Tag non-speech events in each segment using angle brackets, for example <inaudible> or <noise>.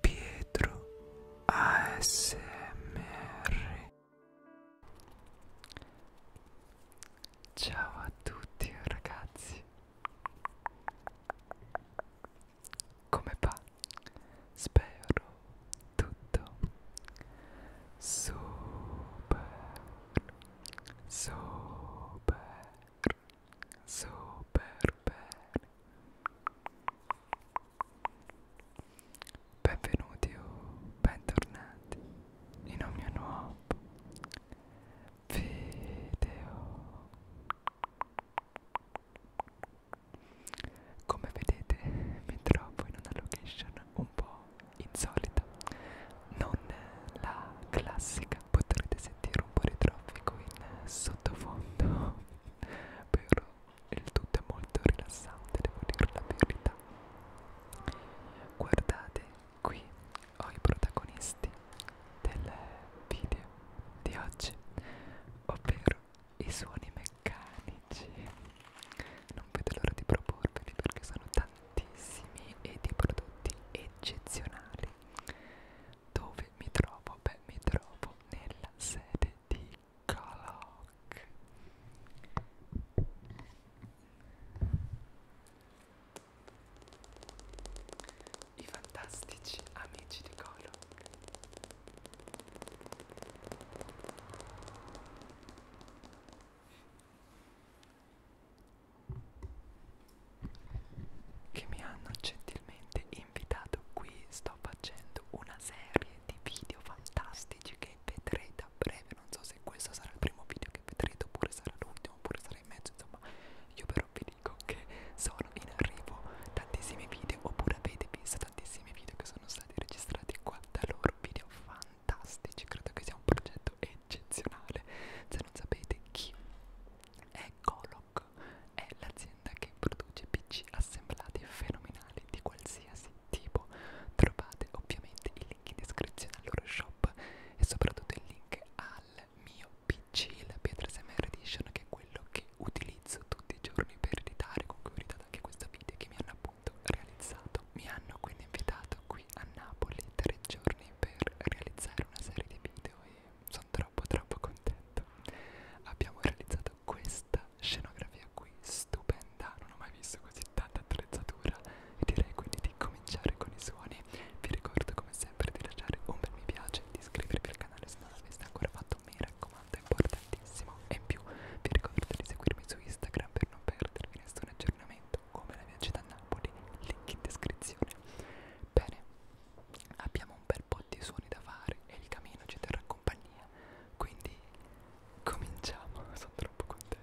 Pietro ASMR Ciao a tutti ragazzi Come va? Spero tutto super super super bene benvenuti o bentornati in un mio nuovo video come vedete mi trovo in una location un po' insolita non la classica potrete sentire un po' di traffico in eh, sottofondo <laughs> però il tutto è molto rilassante devo dire la verità guardate qui ho i protagonisti del video di oggi ovvero i suoni meccanici non vedo l'ora di proporveli perché sono tantissimi e di prodotti eccezionali dove mi trovo? Beh, mi trovo nella sede di Kalok. I fantastici amici di Kalok che mi hanno gentilmente invitato qui sto facendo una serie di video fantastici che vedrete a breve non so se questo sarà il primo video che vedrete oppure sarà l'ultimo oppure sarà in mezzo insomma io però vi dico che sono in arrivo tantissimi video oppure avete visto tantissimi video che sono stati registrati qua da loro video fantastici credo che sia un progetto eccezionale se non sapete chi è Colo Rock è l'azienda che produce PC assemblati fenomenali di qualsiasi tipo. Trovate ovviamente il link in descrizione al loro shop e soprattutto il link al mio PC, la Pietra SMR Edition, che è quello che utilizzo tutti i giorni per editare, con cui ho editato anche questo video che mi hanno appunto realizzato. Mi hanno quindi invitato qui a Napoli tre giorni per realizzare una serie di video e sono troppo troppo contento abbiamo realizzato questa scenografia qui stupenda non ho mai visto così tanta attrezzatura e direi quindi di cominciare con i suoni vi ricordo come sempre di lasciare un bel mi piace di iscrivervi al canale se non l'aveste ancora fatto mi raccomando è importantissimo e in più vi ricordo di seguirmi su Instagram per non perdervi nessun aggiornamento come la mia città Napoli link in descrizione bene abbiamo un bel po' di suoni da fare e il camino ci terrà compagnia. Quindi cominciamo, <laughs> sono troppo contento.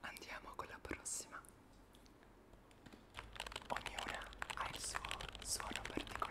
Andiamo con la prossima. Ognuna ha il suo suono particolare.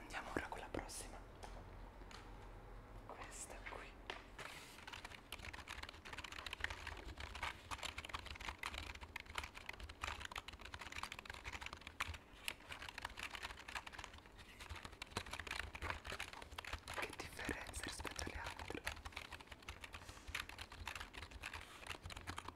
Andiamo ora con la prossima. Questa qui. Che differenza rispetto alle altre?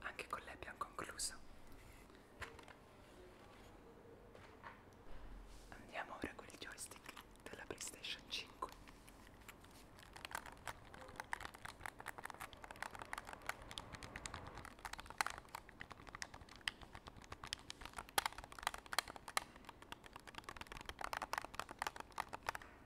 Anche con lei abbiamo concluso. Andiamo ora con il joystick della PlayStation 5.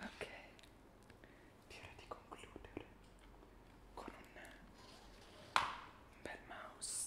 Ok, direi di concludere con un bel mouse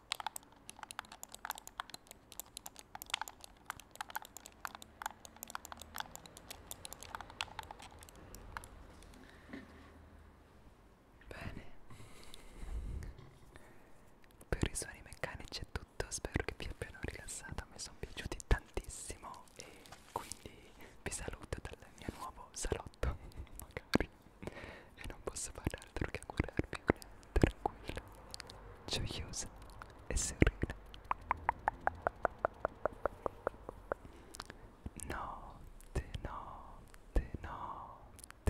Bene, per i suoni meccanici è tutto, spero che vi abbiano rilassato, mi sono piaciuti tantissimo e quindi vi saluto dal mio nuovo salotto, <laughs> magari, e non posso fare altro che augurarvi incredibile, tranquilla, gioiosa e serena. Notte, notte, notte.